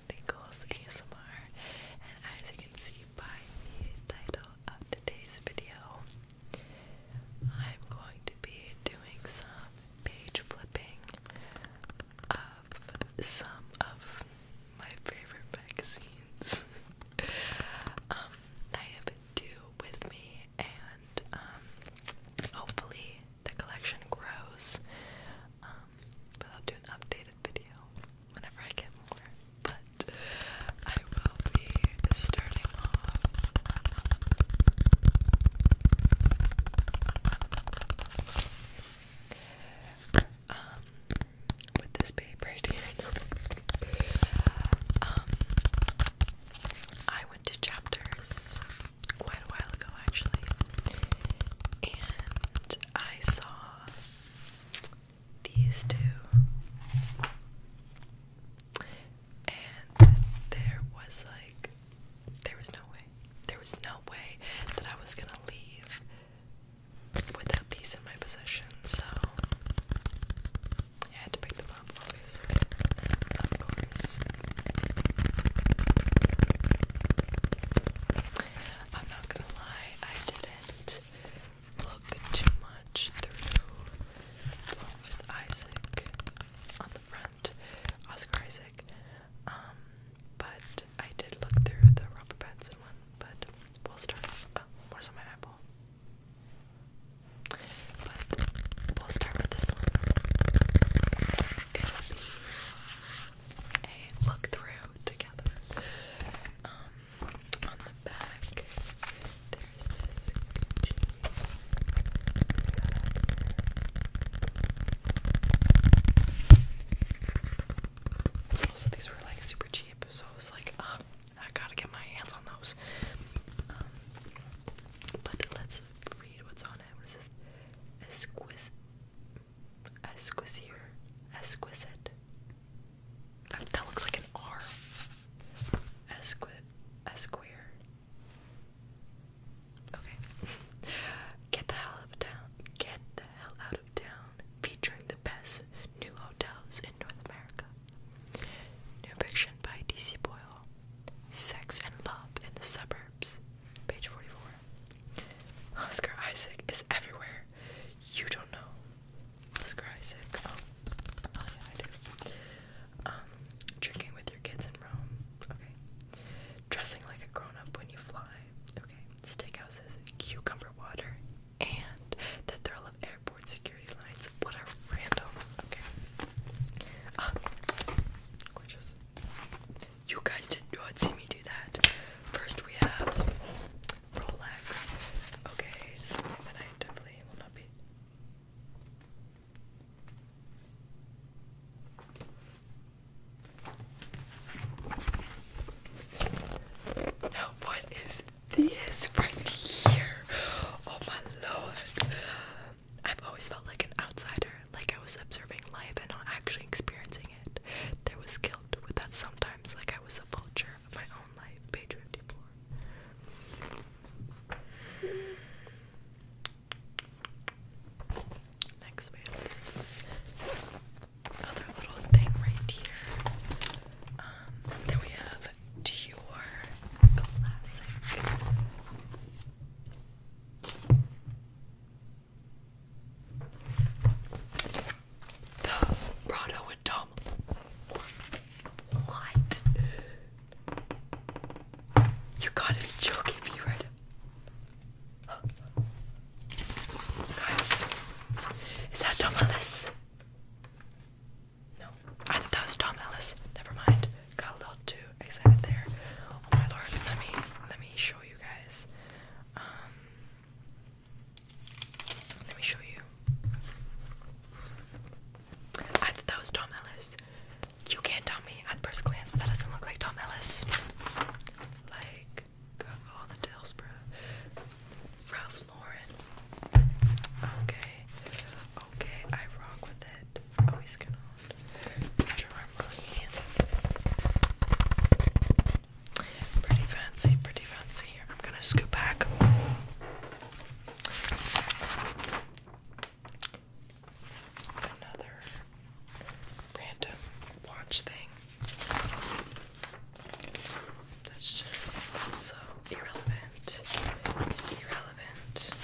on ASMR, and as you can see by the title of today's video, I'm going to be doing some page flipping of some of my favorite magazines. Um, I have two with me, and um, hopefully the collection grows. Um, but I'll do an updated video whenever I get more. But I will be starting off um, with this paper um, I went to chapters quite a while ago actually, and I saw these two, and there was like, there was no way, there was no way that I was gonna leave without these in my possession, so I had to pick them up, obviously, of course. I'm not gonna lie, I didn't look too much through with Isaac on the front, Oscar Isaac. Um, but I did look through the Robert Pattinson one, but we'll start off. Oh, uh, where's my apple? But we'll start with this one a look through together. Um, on the back, there's this Also, these were like super cheap, so I was like, oh, I gotta get my hands on those. Um, but let's read what's on it. What is this? Esquis Esquisier. Exquisite. That, that looks like an R. Esqui Esquire. Okay. Get the hell out of town. Get the hell out of town. Featuring the best new hotels in North America. New fiction by DC Boyle. Sex and Love in the Suburbs. Page 44. Oscar Isaac is everywhere. You don't know. Oscar Isaac. Oh, um, drinking with your kids in Rome. Okay. Dressing like a grown up when you fly. Okay. Steakhouses, cucumber water, and the thrill of airport security lines. What a random. Okay. Um, gorgeous. You guys did not see me do that. First, we have Rolex. Okay, something that I definitely will not be. Now, what is this right here? Oh my lord. I've always felt like an outsider, like I was observing life and not actually experiencing there was guilt with that sometimes, like I was a vulture of my own life. Page 54. Next, we other little thing right here. Um, then we have Dior Classic. The Rhino and Tom. What? You gotta be joking me right now. Guys, is that Tom Ellis? No, I thought that was Tom Ellis. Never mind. Got a little too excited there. Oh my lord! Let me let me show you guys. Um, let me show you. I thought that was Tom Ellis. You can't tell me at first glance that doesn't look like Tom Ellis. Like, all the details, bro. Ralph Lauren. Okay. Okay, I rock with it. Always oh, gonna Jerome Rooney. Pretty fancy, pretty fancy. I'm gonna scoop back. Another random watch thing. That's just also irrelevant. Irrelevant.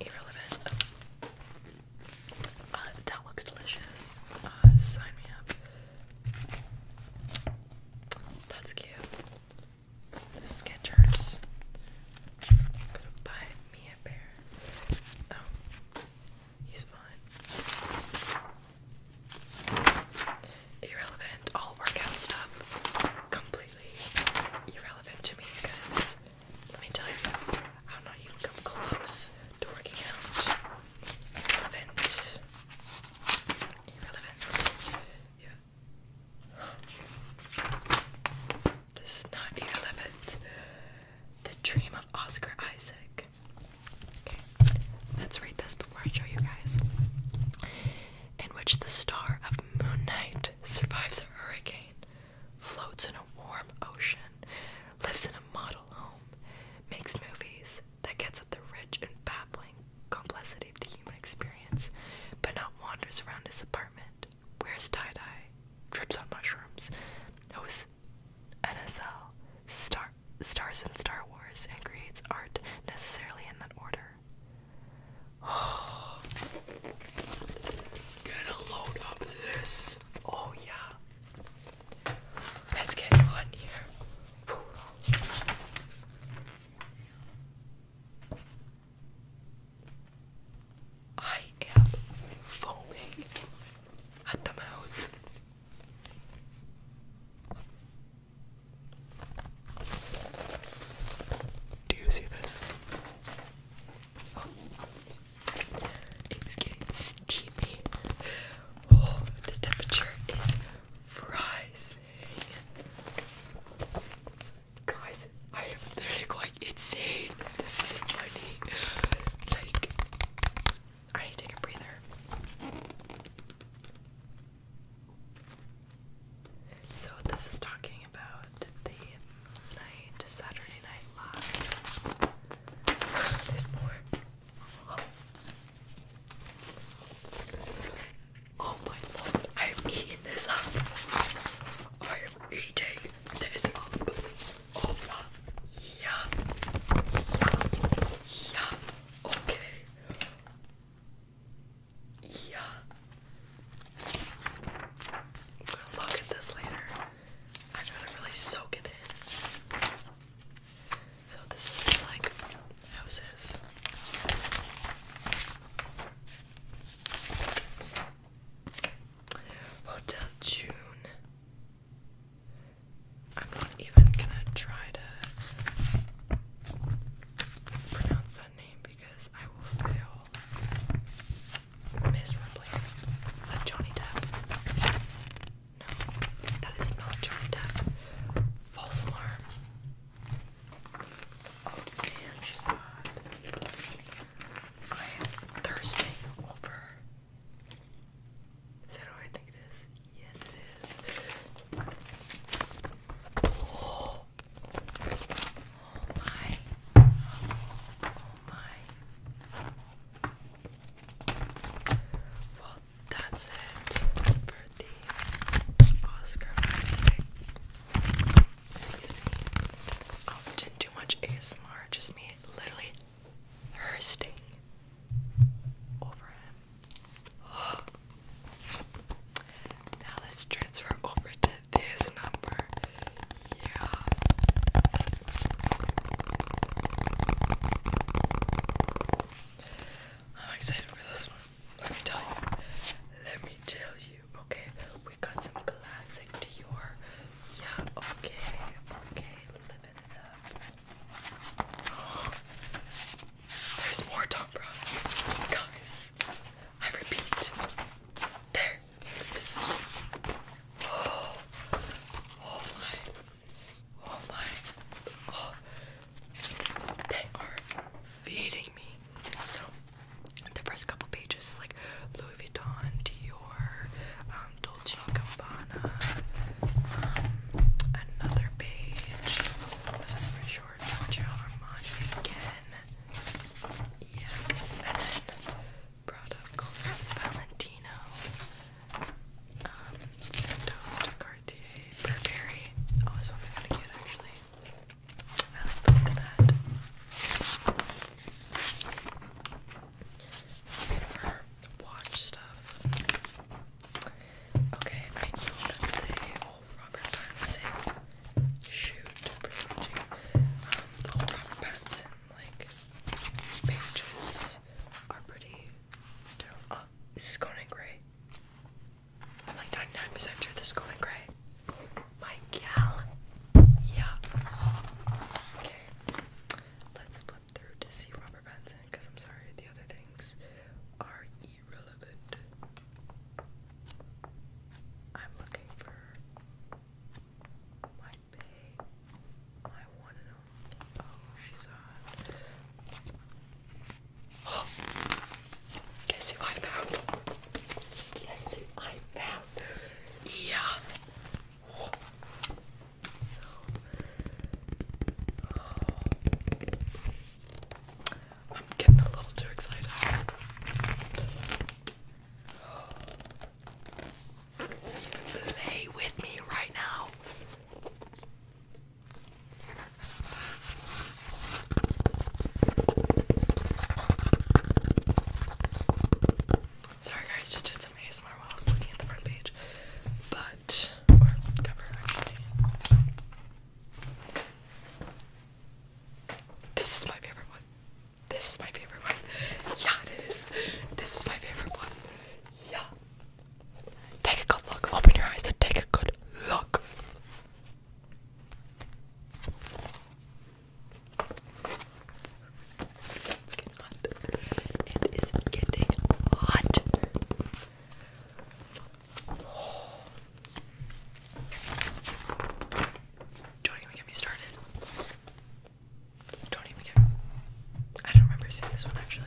Irrelevant. Oh. Uh, that looks delicious. Uh, sign me up. That's cute. Skechers. Gonna buy me a pair. Oh, he's fine. Irrelevant. All workout stuff. Completely irrelevant to me because let me tell you, I'm not even close to working out. Irrelevant. Irrelevant. Yeah. This is not irrelevant. The Dream of Oscar Isaac. Okay, let's read this before I show you guys. In which the star of Moon Knight survives a hurricane, floats in a warm ocean, lives in a model home makes movies that gets at the rich and baffling complexity of the human experience, but not wanders around his apartment, wears tie dye, trips on mushrooms, hosts NSL, stars in Star Wars, and creates art necessarily in that order. Oh, get load of this! Oh yeah. Let's get on here. I am foaming at the mouth. Do you see this? It's getting steamy. Oh, the temperature is rising. Guys, I am literally going insane. This isn't Like, I need to take a breather. So, this is talking about the night, Saturday Night There's more. Oh my lord, I am eating this up. I am eating this up. Oh my, yeah. Yeah. Yeah. Okay. Yeah. I'm gonna look at this later. I gotta really soak it in. So this looks like houses. Hotel June. I'm not even gonna try to pronounce that name because I will fail miserably. Like Johnny Depp. No, that is not journey False alarm. Oh damn, she's odd. I am thirsting over. Is that what I think it is? Yes, it is. Oh, my. Oh my that's it for the Oscar Isaac. I oh, didn't do much ASMR, just me literally thirsting over him. Now let's transfer over to this number. Yeah. I'm excited for this one. Let me tell you. Let me tell you. Okay, we got some classic Dior. Yeah, okay, okay, living it up. there's more Tom Brown. Guys, I repeat. There. Oh, oh my Oh my. Oh. They are feeding me. So, the first couple pages like Louis Vuitton, Dior, um, Dolce & Gabbana. Um, another page. Wasn't Giorgio Armani again. Yes. And then Prada, Colas, Valentino. Um, Sandoz Burberry. Oh, this one's kind of cute actually. I like that. watch stuff. Okay, I know that they all oh, Robert Pattinson shoot for um, switching. Robert Pattinson like pages are pretty uh, this is going Gray. I'm like 99% sure this is Conan Gray. My gal. Yeah. Okay. Let's flip through to see Robert Benson because I'm sorry, the other things are irrelevant. I'm looking for my bae, my one and Oh, she's on. Guess who I found? Guess who I found? Yeah. I'm getting a little too excited. Play with me right now. Sorry guys, just did some ASMR while I was looking at the front page. But This is my favorite one. This is my favorite one. Yeah, it is. This is my favorite one. Yeah. Take a good look. Open your eyes and take a good look. It's getting hot. It is getting hot. Don't even get me started. Don't even get. I don't remember seeing this one actually.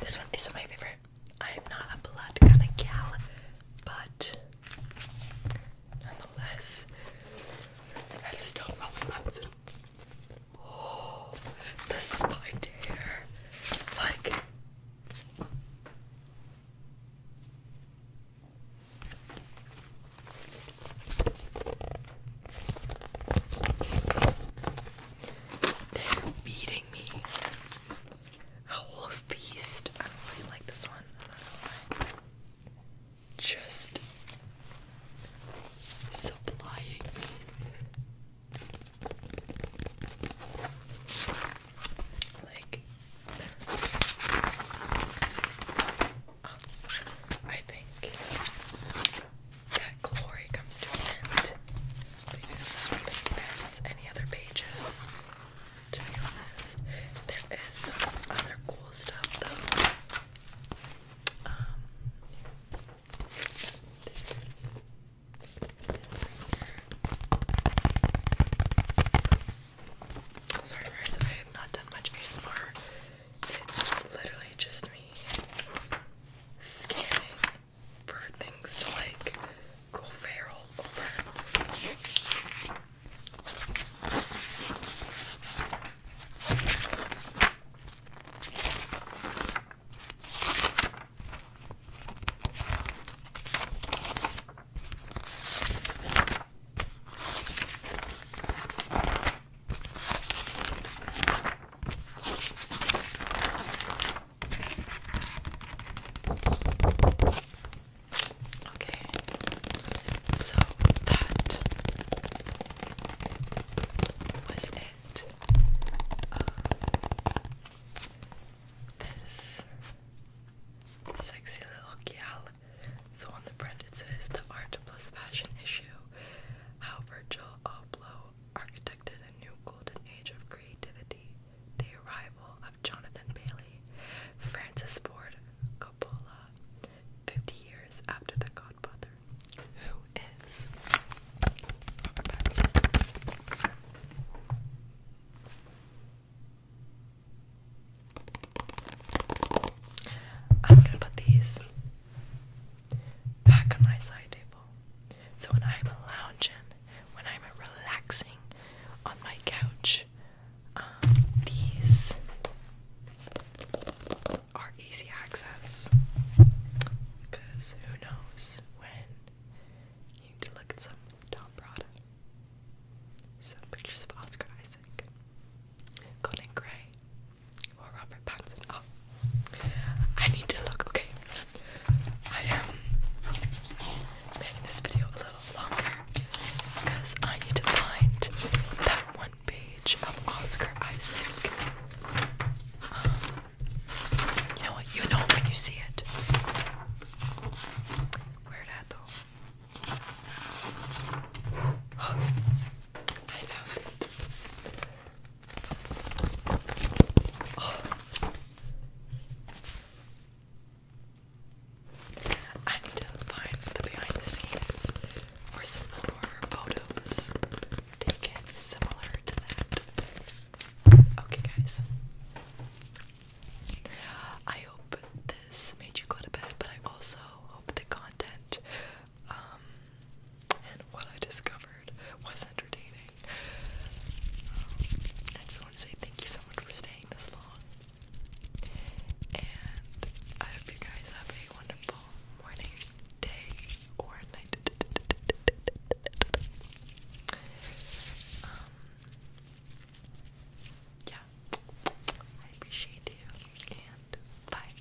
This one is my favorite. I am not a blood kind of gal, but nonetheless, that is not Robin the spine like. They're beating me. Howl of Beast. I really like this one. Just supplying me. Like up, I think that glory comes to an end any other pages. To be honest, there is some other cool stuff though. Um, Sorry, guys, I have not done much ASMR it's literally just me scanning for things to like go feral over. Okay, so that was it. Uh, this sexy little gal. So on the front it says the art plus fashion issue how Virgil Abloh a new golden age of creativity, the arrival of Jonathan Bailey, Francis Ford Coppola, 50 years after The Godfather, who is I'm gonna put these back on my side table. So when I'm lounging, when I'm relaxing on my couch, um, these are easy access. Because who knows when you need to look at some top product. Some pictures of Oscar Isaac, Colin Gray, or Robert Pattinson. Oh, I need to look. Okay, I am um, making this video a little longer because I need to find that one page of Oscar Isaac. Um, you know what? You know when you see it. Where that though? I found it. I need to find the behind the scenes or some more photos taken similar to that. Okay, guys. I hope this made you go to bed, but I also hope the content um, and what I discovered was entertaining. Um, I just want to say thank you so much for staying this long. And I hope you guys have a wonderful morning, day, or night. Um, yeah, I appreciate you, and bye.